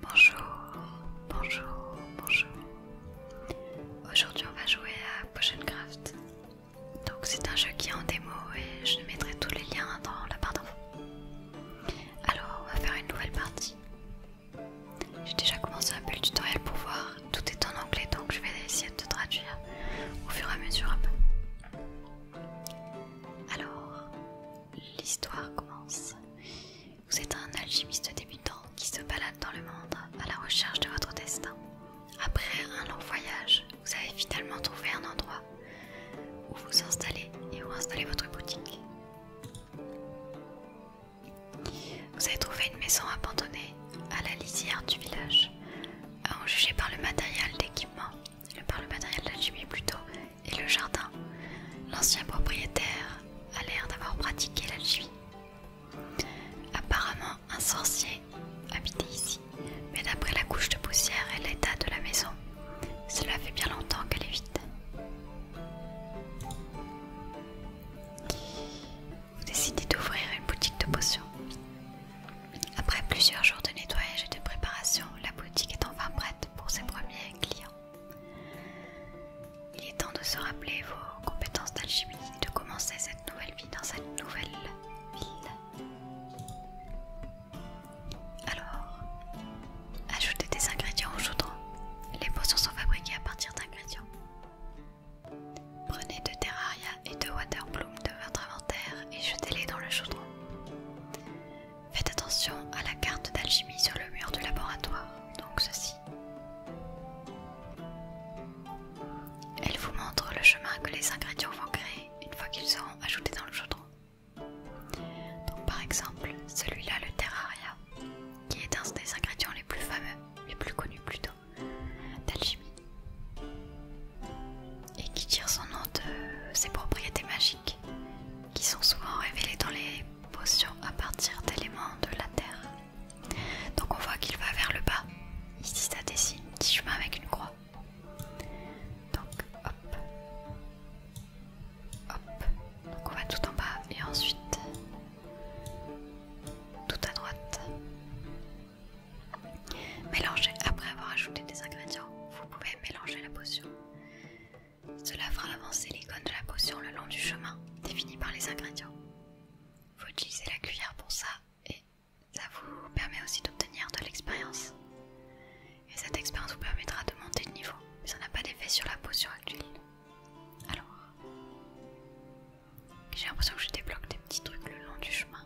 Bonjour, bonjour, bonjour. Aujourd'hui on va jouer à PotionCraft. Donc c'est un jeu qui est en démo et je mettrai tous les liens dans la barre d'infos. Alors on va faire une nouvelle partie. J'ai déjà commencé un peu le tutoriel pour voir. Tout est en anglais donc je vais essayer de traduire au fur et à mesure un peu. Alors l'histoire commence. Vous êtes un alchimiste débutant qui se balade dans le monde à la recherche de votre destin. Après un long voyage, vous avez finalement trouvé un endroit où vous installez et où installer votre boutique. Vous avez trouvé une maison abandonnée à la lisière du village. En juger par le matériel d'équipement, par le matériel d'alchimie plutôt, et le jardin, l'ancien propriétaire a l'air d'avoir pratiqué la l'alchimie. Apparemment, un sorcier habitait ici, mais d'après la couche de poussière et l'état de la maison, cela fait bien longtemps qu'elle est vide. Vous décidez d'ouvrir une boutique de potions. Après plusieurs jours de nettoyage et de préparation, la boutique est enfin prête pour ses premiers clients. Il est temps de se rappeler vos compétences d'alchimie et de commencer cette nouvelle vie dans cette nouvelle ville. Alors, ajoutez des ingrédients au chaudron. Les potions sont fabriquées à partir d'ingrédients. Prenez deux terraria et deux waterbloom de votre inventaire et jetez-les dans le chaudron. Faites attention à la carte d'alchimie sur le mur du laboratoire, donc ceci. Elle vous montre le chemin que les ingrédients vont créer une fois qu'ils seront ajoutés dans le chaudron. Donc par exemple, celui-là, le terraria, qui est un des ingrédients les plus fameux, les plus connus plutôt, d'alchimie, et qui tire son nom de ses propriétés magiques, qui sont souvent révélés dans les potions à partir d'éléments de la terre. Donc on voit qu'il va vers le bas. Ici ça dessine un petit chemin avec une croix. Donc hop. Hop. Donc on va tout en bas et ensuite tout à droite. Mélangez. Après avoir ajouté des ingrédients, vous pouvez mélanger la potion. Cela fera avancer l'icône de la potion le long du chemin, défini par les ingrédients. Vous utilisez la cuillère pour ça, et ça vous permet aussi d'obtenir de l'expérience. Et cette expérience vous permettra de monter de niveau, mais ça n'a pas d'effet sur la potion actuelle. Alors, j'ai l'impression que je débloque des petits trucs le long du chemin.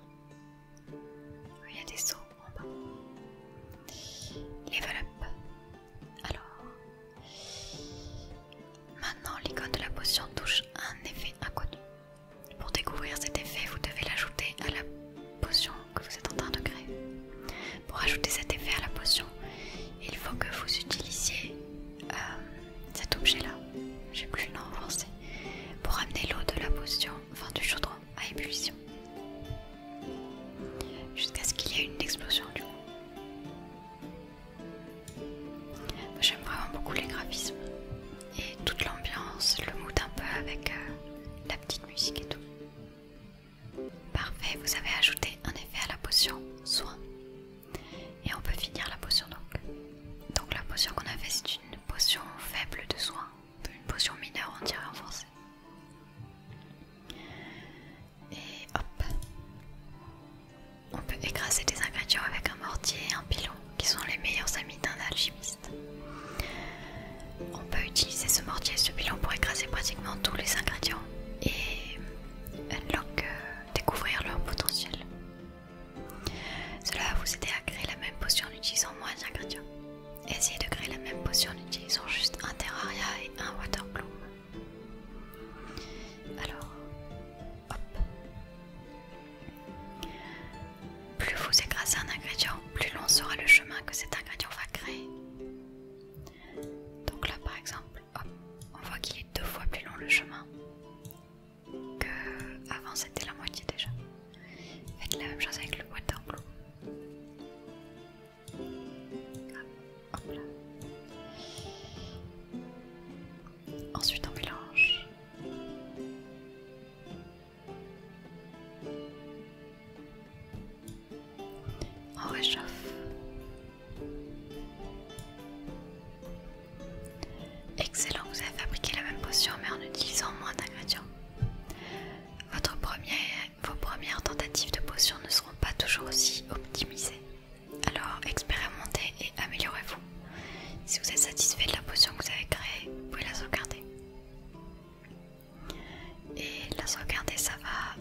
Il y a des sauts en Level up. Alors, maintenant l'icône de la potion touche un effet inconnu. Pour découvrir cet effet, vous devez l'ajouter à la potion que vous êtes en train de créer. Pour ajouter cet effet à la potion, il faut que vous utilisiez euh, cet objet-là. J'ai plus nom en français. Pour amener l'eau de la potion enfin du chaudron à ébullition, jusqu'à ce qu'il y ait une explosion du coup. J'aime vraiment beaucoup les graphismes et toute l'ambiance, le mood un peu avec euh, la petite musique et tout. Parfait, vous avez ajouté un effet à la potion soin. Et on peut finir la potion donc. Donc la potion qu'on a fait c'est une potion faible de soin, une potion mineure on dirait en et hop. On peut écraser des ingrédients avec un mortier et un pilon, qui sont les meilleurs amis d'un alchimiste. On peut utiliser ce mortier et ce pilon pour écraser pratiquement tous les ingrédients et unlock, euh, découvrir leur potentiel. Cela va vous aider à créer la même potion en utilisant moins d'ingrédients. Essayez de créer la même potion en utilisant juste un terraria et un waterbloom. Alors, hop. Plus vous écrasez un ingrédient, plus long sera le chemin que cet ingrédient va créer. Donc là par exemple, hop, on voit qu'il est deux fois plus long le chemin que c'était la moitié déjà. Faites la même chose avec le boîte d'enclos. Ensuite on mélange. On réchauffe. Excellent, vous avez fabriqué la même potion mais en utilisant moins d'ingrédients. Votre première, vos premières tentatives de potion ne seront pas toujours aussi optimisées. Alors expérimentez et améliorez-vous. Si vous êtes satisfait de la potion que vous avez créée, vous pouvez la sauvegarder. Et la sauvegarder, ça va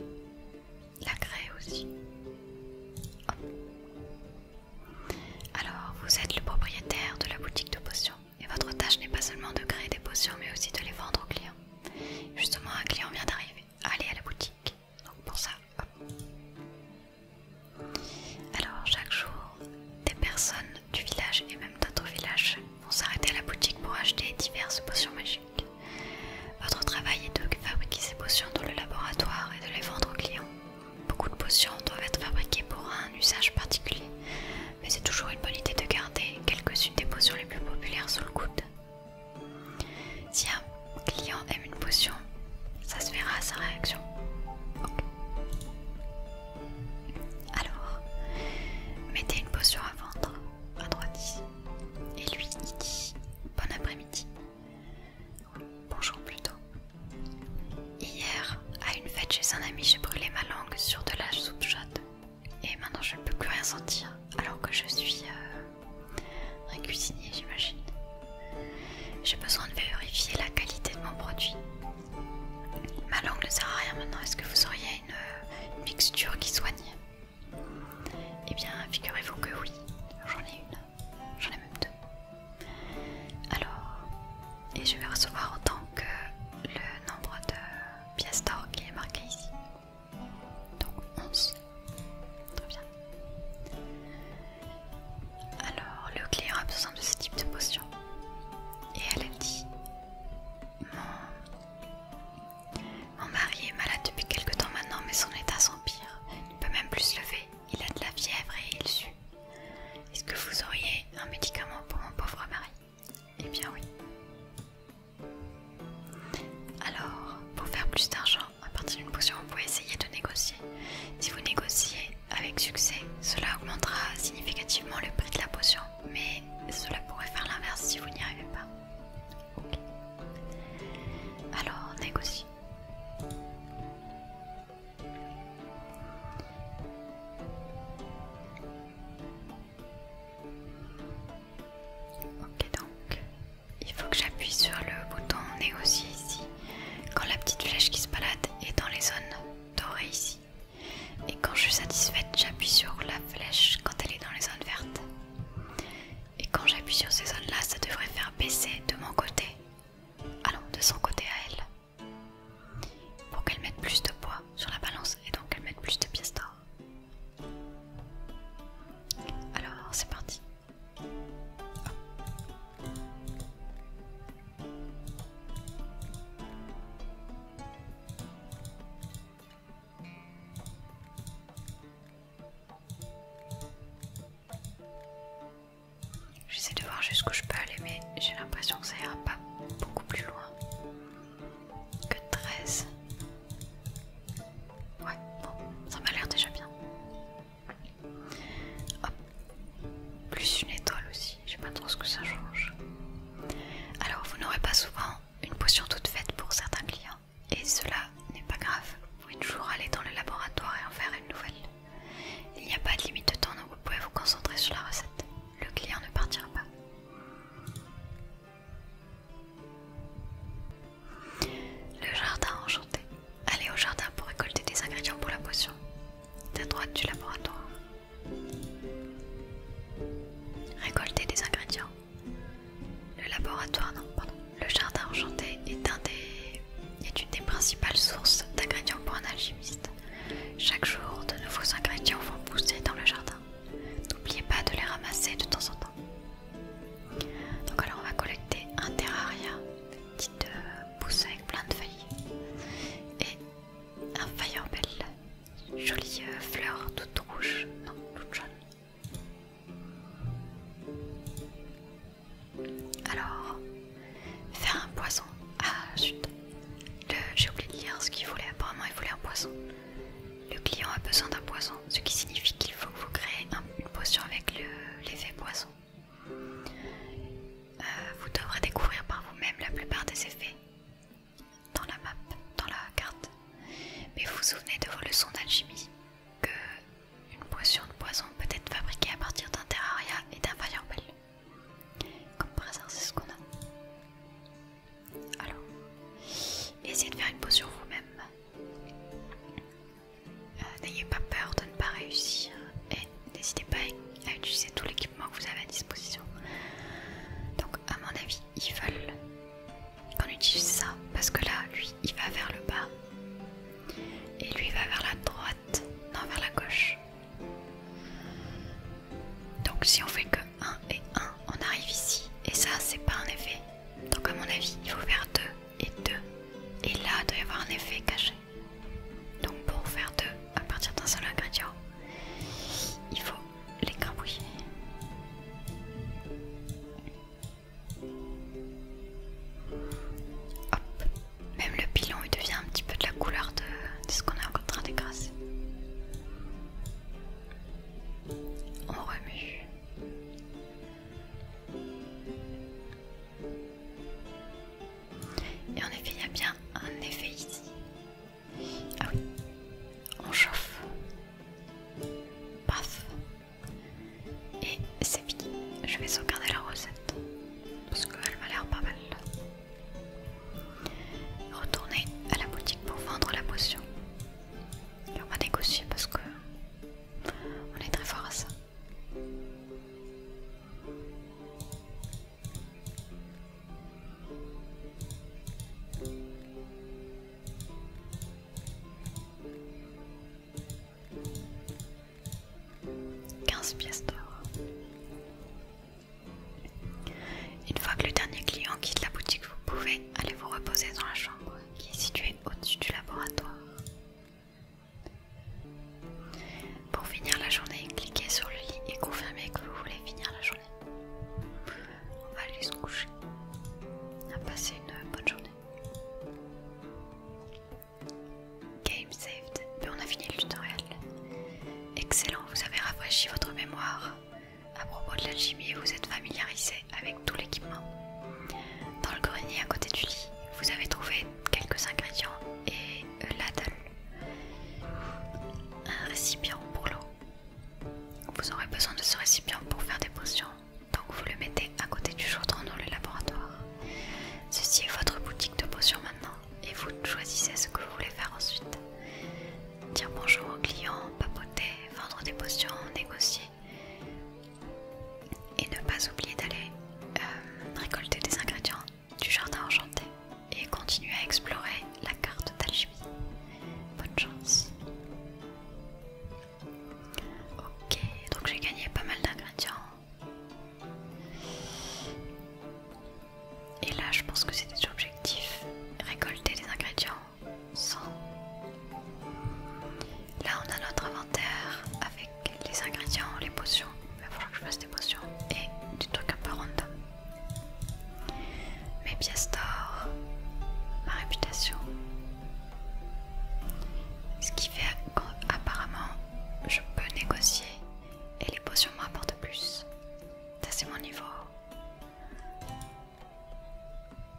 la créer aussi. Alors, vous êtes le propriétaire de la boutique de potion. Et votre tâche n'est pas seulement de créer des potions, mais aussi de les vendre aux clients. Justement, un client vient d'arriver. Allez à la boutique. Donc pour ça, hop. Alors chaque jour, des personnes du village et même d'autres villages vont s'arrêter à la boutique pour acheter diverses potions magiques. Votre travail est de fabriquer ces potions dans le laboratoire et de les vendre aux clients. Beaucoup de potions doivent être fabriquées pour un usage particulier, mais c'est toujours une bonne idée de garder quelques-unes des potions les plus populaires sous le coude. Tiens, un client aime une potion, ça se verra à sa réaction. Ok. Alors, mettez une potion à vendre à droite Et lui, il dit bon après-midi. Bonjour plutôt. Hier, à une fête chez un ami, j'ai brûlé ma langue sur de la soupe chaude. Et maintenant je ne peux plus rien sentir alors que je suis un euh, cuisinier j'imagine. J'ai besoin de vérifier la qualité de mon produit. Ma langue ne sert à rien maintenant. Est-ce que vous auriez une, une mixture qui soigne Eh bien, figurez-vous que oui. J'en ai une. J'en ai même deux. Alors, et je vais recevoir autant que le nombre de pièce qui est marquée ici. Donc 11. Très bien. Alors, le client a besoin de ce type de potion. Et elle a dit Mon, mari est malade depuis quelque temps maintenant, mais son état s'empire. Il ne peut même plus se lever. Il a de la fièvre et il sue. Est-ce que vous auriez un médicament pour mon pauvre mari eh bien oui. Alors, pour faire plus d'argent à partir d'une potion, vous pouvez essayer de négocier. Si vous négociez avec succès, cela augmentera significativement le prix de la potion, mais cela pourrait faire l'inverse si vous n'y arrivez pas. Ok. Alors, négocie. Ok donc, il faut que j'appuie sur le bouton nez aussi ici, quand la petite flèche qui se balade est dans les zones dorées ici. Et quand je suis satisfaite, j'appuie sur la flèche quand elle est dans les zones vertes. Et quand j'appuie sur ces zones là, ça devrait faire baisser de mon côté. Allons, de son côté à elle pour qu'elle mette plus de poids sur la balance et donc qu'elle mette plus de pièces d'or. Alors c'est parti. J'essaie de voir jusqu'où je peux aller, mais j'ai l'impression que ça ira pas beaucoup plus loin que 13. Ouais, bon, ça m'a l'air déjà bien. plus une étoile aussi, je pas trop ce que ça change. Alors, vous n'aurez pas souvent une potion toute faite pour certains clients, et cela n'est pas grave. Vous pouvez toujours aller dans le laboratoire et en faire une nouvelle. Il n'y a pas de limite de temps, donc vous pouvez vous concentrer sur la recette le client ne partira pas. Le jardin enchanté. Allez au jardin pour récolter des ingrédients pour la potion. À droite du laboratoire. Récolter des ingrédients. Le laboratoire, non, pardon. Le jardin enchanté est, est une des principales sources d'ingrédients pour un alchimiste. Chaque jour, de nouveaux ingrédients vont pousser dans le jardin. N'oubliez pas de les ramasser de temps en temps. Donc alors on va collecter un terraria, petite euh, pousse avec plein de feuilles et un firebell, jolie euh, fleur toute rouge, non toute jaune. Alors Faire un poison. Ah, chut. J'ai oublié de lire ce qu'il voulait. Apparemment, il voulait un poison. Le client a besoin d'un poison, ce qui signifie qu'il faut que vous créez une potion avec l'effet poison. poisson. Euh, vous devrez découvrir par vous-même la plupart des effets dans la map, dans la carte. Mais vous vous souvenez de vos leçons d'alchimie que une potion de poison peut être fabriquée à partir d'un terraria et d'un fireball. Comme par c'est ce qu'on a. Alors, essayez de faire une pause sur vous-même. Euh, n'ayez pas peur de ne pas réussir et n'hésitez pas à utiliser tout l'équipement que vous avez à disposition. Donc, à mon avis, ils veulent qu'on utilise ça parce que là, lui, il va vers le bas et lui va vers la droite, non vers la gauche. Donc si on fait que 1 et 1, on arrive ici. Et ça, c'est pas un effet. Donc à mon avis, il faut faire 2 et 2. Et là, il doit y avoir un effet caché. Donc pour faire 2 à partir d'un seul ingrédient, il faut les Hop. Même le pilon il devient un petit peu de la couleur de, ce qu'on est en train d'écraser. On remue. Et en effet, il y a bien un effet ici. Ah oui, on chauffe. Paf. Et c'est fini. Je vais sauvegarder la recette. Parce qu'elle m'a l'air pas mal. Retourner à la boutique pour vendre la potion. Et on va négocier parce que on est très fort à ça. 15 pièces d'or. Une fois que le dernier client quitte la boutique, vous pouvez aller vous reposer dans la chambre qui est située au-dessus du laboratoire. Pour finir la journée, cliquez sur le lit et confirmez que vous voulez finir la journée. On va aller se coucher. à a une bonne journée. Game saved. Mais on a fini le tutoriel. Excellent, vous avez rafraîchi votre mémoire. À propos de l'alchimie, vous êtes familiarisé avec tout l'équipement. Dans le grenier à côté du lit, vous avez trouvé quelques ingrédients et euh, l'adle. Un récipient pour l'eau. Vous aurez besoin de ce récipient pour faire des potions, donc vous le mettez à côté du chaudron dans le laboratoire. Ceci est votre boutique de potions maintenant et vous choisissez ce que vous voulez faire ensuite. Dire bonjour aux clients, papoter, vendre des potions, négocier. Et ne pas oublier d'aller euh, récolter des ingrédients du jardin enchanté et continuer à explorer la carte d'alchimie. Bonne chance. Ok, donc j'ai gagné pas mal d'ingrédients. Et là, je pense que c'était l'objectif, récolter les ingrédients sans. Là, on a notre inventaire avec les ingrédients, les potions. Il va falloir que je fasse des potions et du truc un peu random. Mes pièces d'or, ma réputation. Ce qui fait qu'apparemment, je peux négocier et les potions m'apportent plus. Ça c'est mon niveau.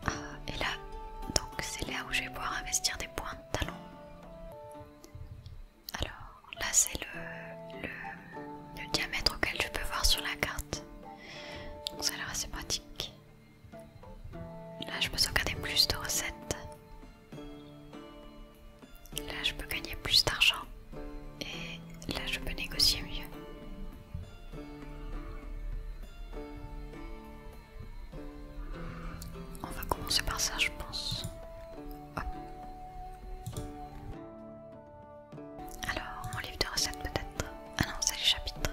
Euh, et là, donc c'est là où je vais pouvoir investir des points de talon Alors là c'est le, le, diamètre auquel je peux voir sur la carte. Donc ça a l'air assez pratique. Là je peux sauvegarder plus de recettes. Là, je peux gagner plus d'argent et là, je peux négocier mieux. On va commencer par ça, je pense. Alors, mon livre de recettes peut-être Ah non, c'est les chapitres.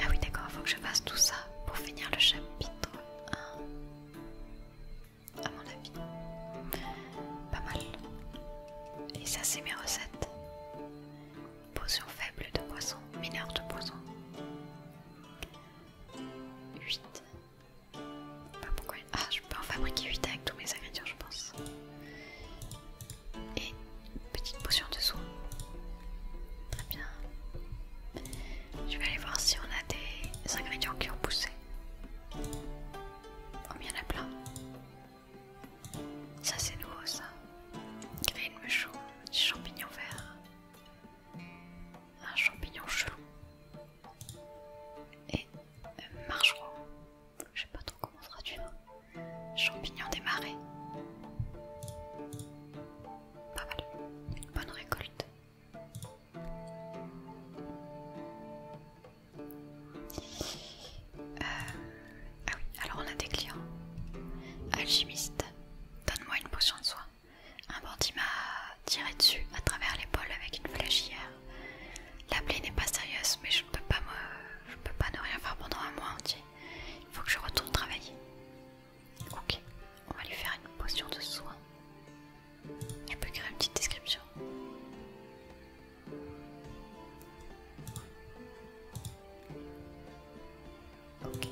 Ah oui, d'accord, il faut que je fasse tout ça pour finir le chapitre 1 à mon avis. Pas mal. Et ça, c'est mes recettes. Potion faible de poisson, mineur de poisson. 8. Pas pourquoi. Ah, je peux en fabriquer 8 avec tous mes ingrédients, je pense. Et petite potion de soin. Très bien. Je vais aller voir si on a des ingrédients qui ont poussé. Oh, il y en a plein. Ça, c'est nouveau, ça. une mushroom, des champignons verts. Un champignon chelou. Et un euh, Je sais pas trop comment traduire. Hein. Champignon des marais. Pas mal. Bonne récolte. Euh, ah oui, alors on a des clients. Alchimiste, donne-moi une potion de soin. Un bandit m'a tiré dessus à travers l'épaule avec une flèche hier. La plaie n'est pas sérieuse, mais je ne peux pas me... peux pas ne rien faire pendant un mois entier. Il faut que je retourne travailler. Ok, on va lui faire une potion de soin. Il peut créer une petite description. Ok.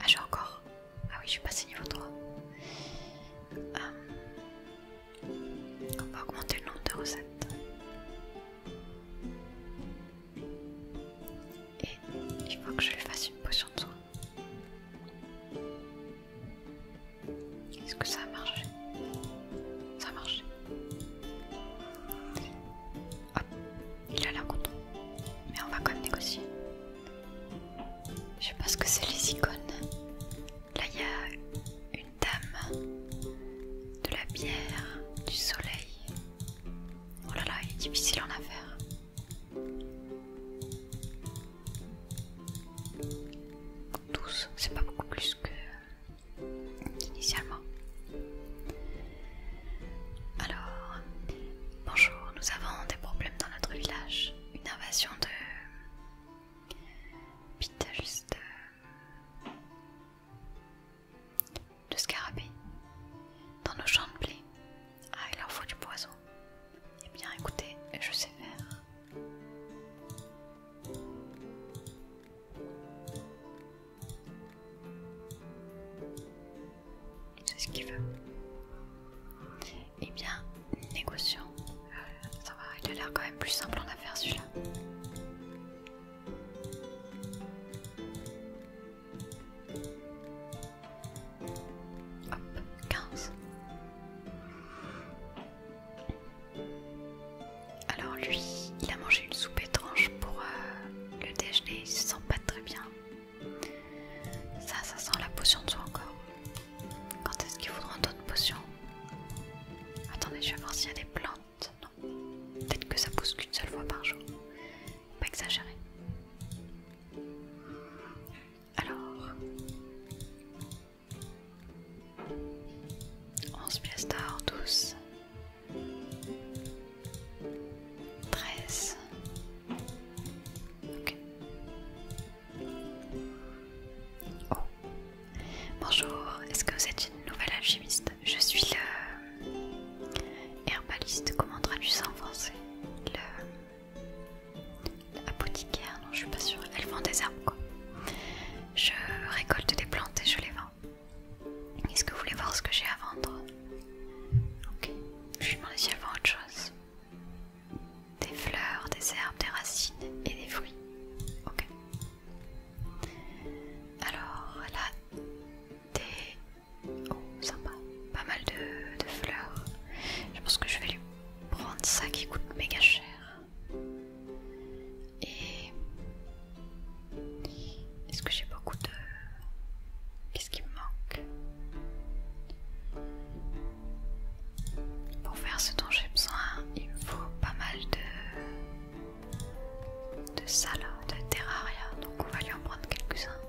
Ah, j'ai encore. Ah oui, je suis passé niveau 3. Euh, on va augmenter le nombre de recettes et il faut que je lui fasse une potion de soin. Est-ce que ça a marché Ça a marché. Hop, il a l'air content. Mais on va quand même négocier. Je sais pas ce que c'est les icônes. Là, il y a une dame, de la bière, du soleil, Oh là là, il est difficile en affaire. Tous, c'est pas beaucoup plus que euh, initialement. Alors, bonjour, nous avons des problèmes dans notre village. Une invasion de Pita de, de scarabée dans nos champs de blé. Ah, il leur faut du poison. Eh bien, écoutez, je sais faire. C'est ce qu'il veut. Eh bien, négocions. Euh, ça va, il a l'air quand même plus simple en affaire celui-là. Hop, 15. Alors lui, il a mangé une soupe étrange pour euh, le déjeuner, il se sent pas très bien. Ça, ça sent la potion de soin encore. Quand est-ce qu'il une d'autres potions Attendez, je vais voir s'il y a des plantes. Non, peut-être que ça pousse qu'une seule fois par jour. Pas exagéré. Alors, 11 piastres, 12, 13, ok. Oh, bonjour, est-ce que vous êtes une nouvelle alchimiste Je suis le herbaliste, comment du sang français le... Apothicaire, non je suis pas sûre, elle vend des herbes quoi. Je récolte des plantes et je les vends. Est-ce que vous voulez voir ce que j'ai à vendre Ok, je lui demande si elle vend autre chose. Des fleurs, des herbes, des racines et des fruits. Ok. Alors là, des Oh, sympa. Pas mal de, fleurs. Je pense que je vais lui prendre ça qui coûte méga cher. Et... Est-ce que j'ai beaucoup de... Qu'est-ce qui me manque Pour faire ce dont j'ai besoin, il me faut pas mal de... de ça de terraria. Donc on va lui en prendre quelques-uns.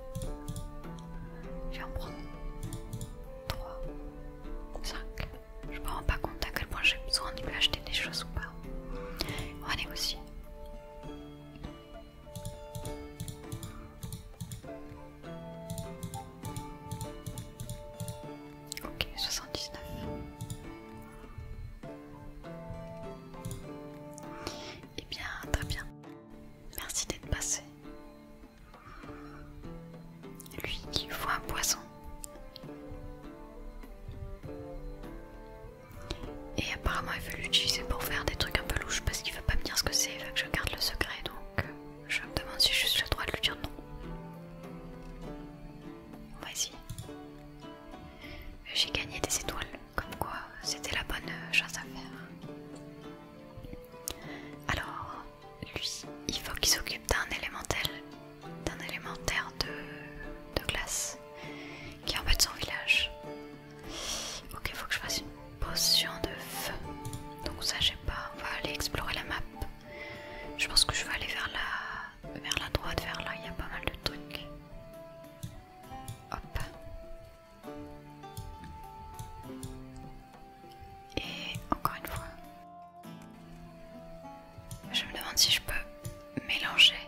J'en prendre 3, 5. Je me rends pas compte à quel point j'ai besoin de lui acheter des choses ou pas. On va négocier. Ok, 79. Et eh bien, très bien. Merci d'être passé. Lui qui voit un poisson. Et apparemment il veut l'utiliser pour faire des trucs un peu louches parce qu'il veut pas me dire ce que c'est, il veut que je garde le secret donc euh, je me demande si j'ai juste le droit de lui dire non. Vas-y j'ai gagné des étoiles, comme quoi c'était la bonne euh, chose à faire. Alors, lui, il faut qu'il s'occupe d'un élémentel, d'un élémentaire de, glace, qui en fait son village. Ok, il faut que je fasse une potion de feu. Donc ça, j'ai pas. On va aller explorer la map. Je pense que je vais aller vers la, vers la droite, vers là, il y a pas mal de trucs. Hop. Et encore une fois, je me demande si je peux mélanger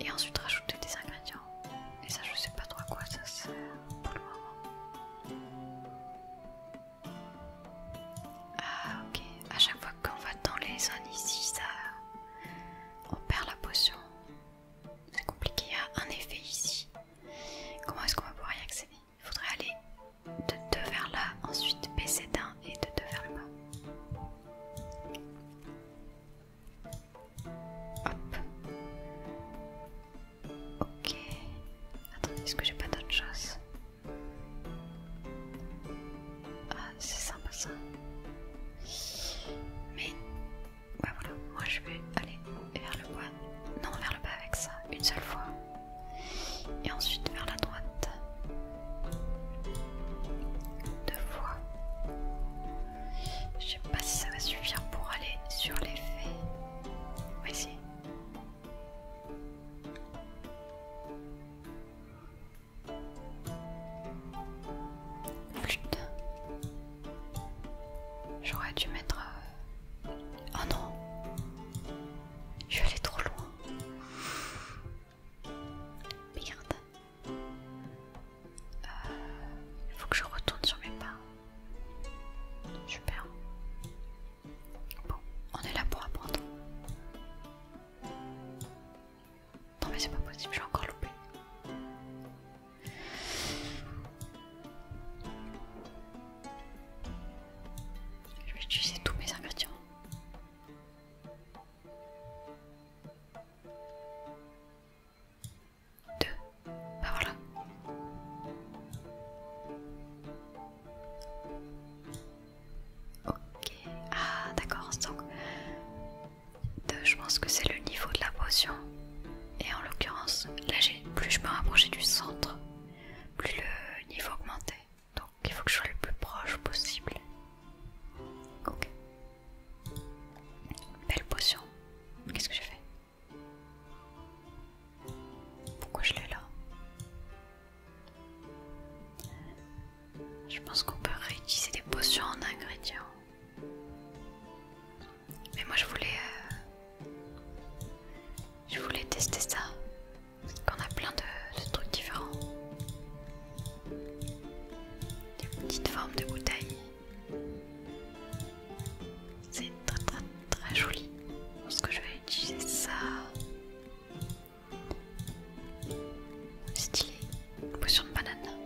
et ensuite rajouter des ingrédients. Et ça, je sais pas trop à quoi ça sert pour le moment. Ah, ok. À chaque fois qu'on va dans les zones ici, ça. On perd la potion. C'est compliqué, il y a un effet ici. Comment est-ce qu'on va pouvoir y accéder Il faudrait aller de 2 vers là, ensuite baisser d'un et de 2 vers le bas. Hop. Ok. Attendez, est-ce que j'ai pas d'autre chose ah, c'est sympa ça. Mais, bah voilà, moi je vais aller vers le bas. Non, vers le bas avec ça, une seule fois. Et ensuite vers la droite. Deux fois. Je sais pas si ça va suffire pour aller sur les fées. voici J'aurais dû mettre... Oh euh, non Je suis allée trop loin. Merde. Euh, il faut que je retourne sur mes pas. Super. Bon, on est là pour apprendre. Non mais c'est pas possible, j'ai encore loupé. Je vais utiliser tous mes ingrédients. Deux. Bah voilà. Ok. Ah d'accord. Donc je pense que c'est le niveau de la potion et en l'occurrence là plus je me rapprochais du centre plus le niveau augmentait donc il faut que je sois le plus proche possible ok belle potion qu'est-ce que j'ai fait pourquoi je l'ai là je pense qu'on peut réutiliser des potions en ingrédients. Mais moi je voulais... Euh, je voulais tester ça. Qu'on a plein de, trucs différents. Des petites formes de bouteilles. C'est très très très joli. Je pense que je vais utiliser ça Stylé. Potion de banane.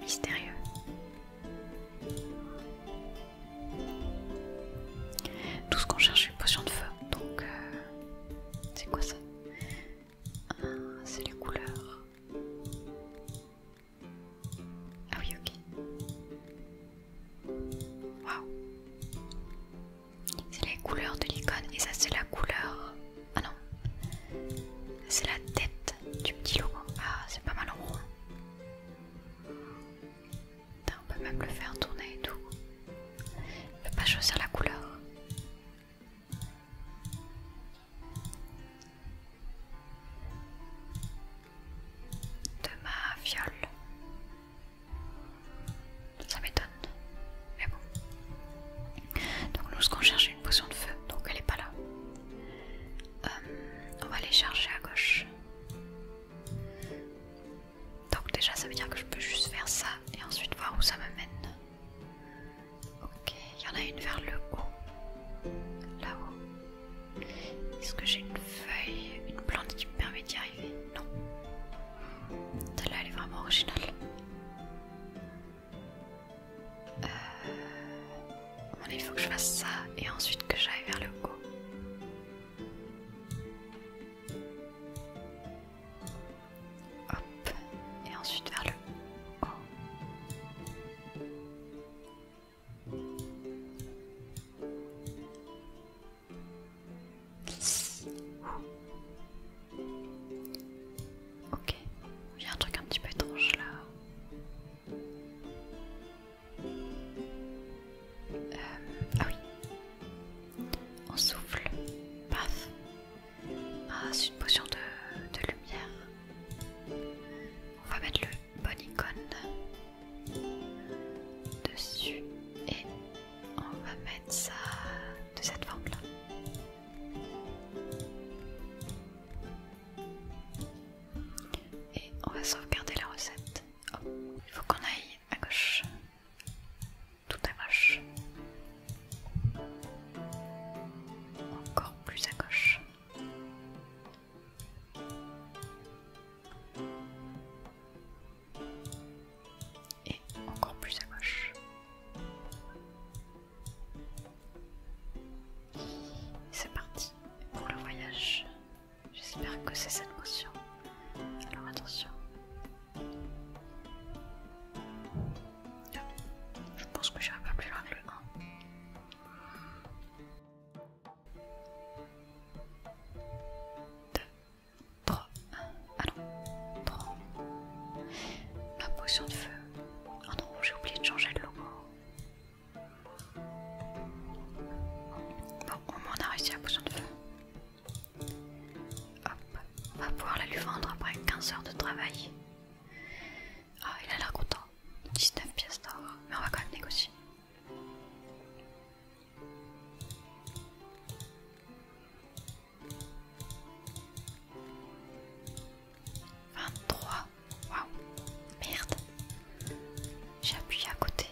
Mystérieux. Tout ce qu'on cherche c'est une potion de feu. Donc, euh, c'est quoi ça ah, C'est les couleurs. Ah oui, ok. Waouh. C'est la couleur de l'icône et ça c'est la couleur... Ah non. C'est la tête du petit logo. Ah c'est pas mal en on peut même le faire tourner et tout. On peut pas choisir la couleur. De ma viole. Ça m'étonne. Mais bon. Donc nous, ce qu'on cherche, c'est une potion de feu. Donc elle n'est pas là. Euh, on va aller chercher à gauche. Donc déjà, ça veut dire que je peux juste faire ça et ensuite voir où ça me mène. Ok, il y en a une vers le haut. Là-haut. Est-ce que j'ai une feuille, une plante qui me permet d'y arriver non. Celle-là, elle est vraiment originale. Euh... il faut que je fasse ça et ensuite que j'aille vers le haut. Hop, et ensuite vers le haut. Ok, il y a un truc un petit peu étrange là. Euh, ah oui, on souffle, paf. Ah, c'est une potion de, lumière. On va mettre le bon dessus et on va mettre ça de cette forme là. Et on va sauvegarder la recette. il faut qu'on aille à gauche. Tout à gauche. Encore plus à gauche et encore plus à gauche. C'est parti pour le voyage. J'espère que c'est cette motion. Alors attention. Je pense que j'irai pas plus loin que le 1. 3. ah Ah 3. ma potion de feu. Oh non, j'ai oublié de changer le logo. Bon, au moins on a réussi la potion de feu. Hop, on va pouvoir la lui vendre après 15 heures de travail. Ah, il a l'air content. 19 pièces d'or, mais on va quand même négocier. 23. Waouh. Merde. J'ai appuyé à côté.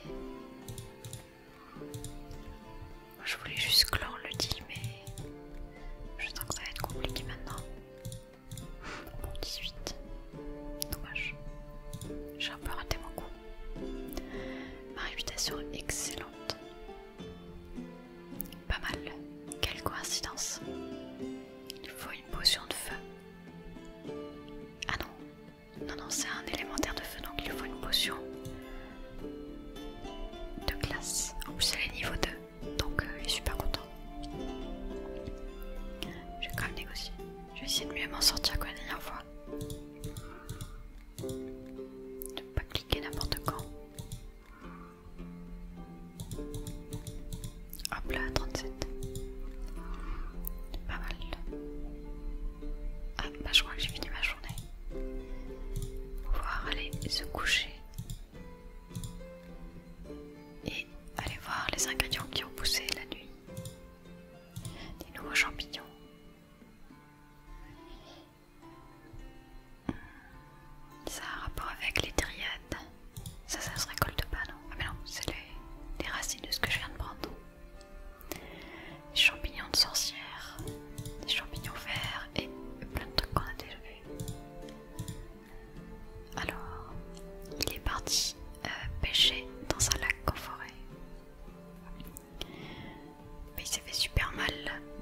je voulais juste l'on le deal, mais je sens que ça va être compliqué maintenant. Bon, 18. Dommage. J'ai un peu raté mon coup. Ma réputation excellente. Pas mal. Quelle coïncidence. Il faut une potion de feu. Ah non. Non, non, c'est un élémentaire de feu, donc il faut une potion de glace. En plus, elle est niveau 2, donc euh, je suis pas content. Je vais quand même négocier. Je vais essayer de mieux m'en sortir que la dernière fois ne pas cliquer n'importe quand. Hop là, 37. Pas mal. Ah bah je crois que j'ai fini ma journée. Pouvoir aller se coucher. Et aller voir les ingrédients qui ont poussé la nuit. Des nouveaux champignons, ça a un rapport avec les triades. Ça, ça se récolte pas, non Ah, mais non, c'est les, racines de ce que je viens de prendre. Des champignons de sorcière, des champignons verts et plein de trucs qu'on a déjà Alors, il est parti euh, pêcher dans un lac en forêt. Mais il s'est fait super mal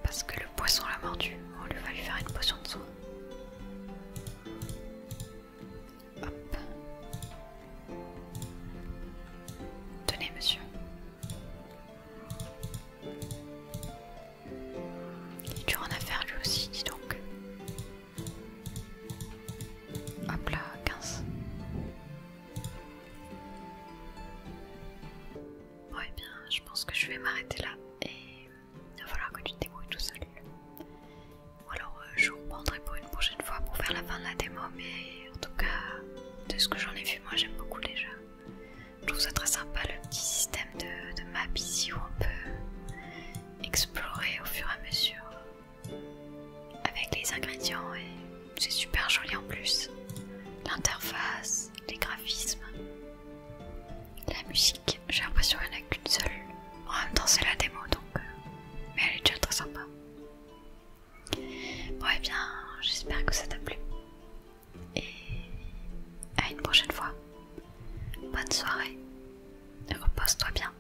parce que le poisson l'a mordu. On lui va lui faire une potion de soin. Hop. Tenez, monsieur. Il est dur en affaire lui aussi, dis donc. Hop là, 15. Bon, et bien, je pense que je vais m'arrêter là et il va falloir que tu te débrouilles tout seul. Ou alors, euh, je vous reprendrai pour une prochaine fois pour faire la fin de la démo, mais en tout cas, de ce que j'en ai vu, moi j'aime beaucoup déjà. Je trouve ça très sympa le petit système de map ici où on peut explorer au fur et à mesure avec les ingrédients et c'est super joli en plus. L'interface, les graphismes, la musique, j'ai l'impression qu'il n'y en a qu'une seule. En même temps c'est la démo donc, euh, mais elle est déjà très sympa. Bon et eh bien j'espère que ça t'a plu et à une prochaine fois. Bonne soirée, repose-toi bien.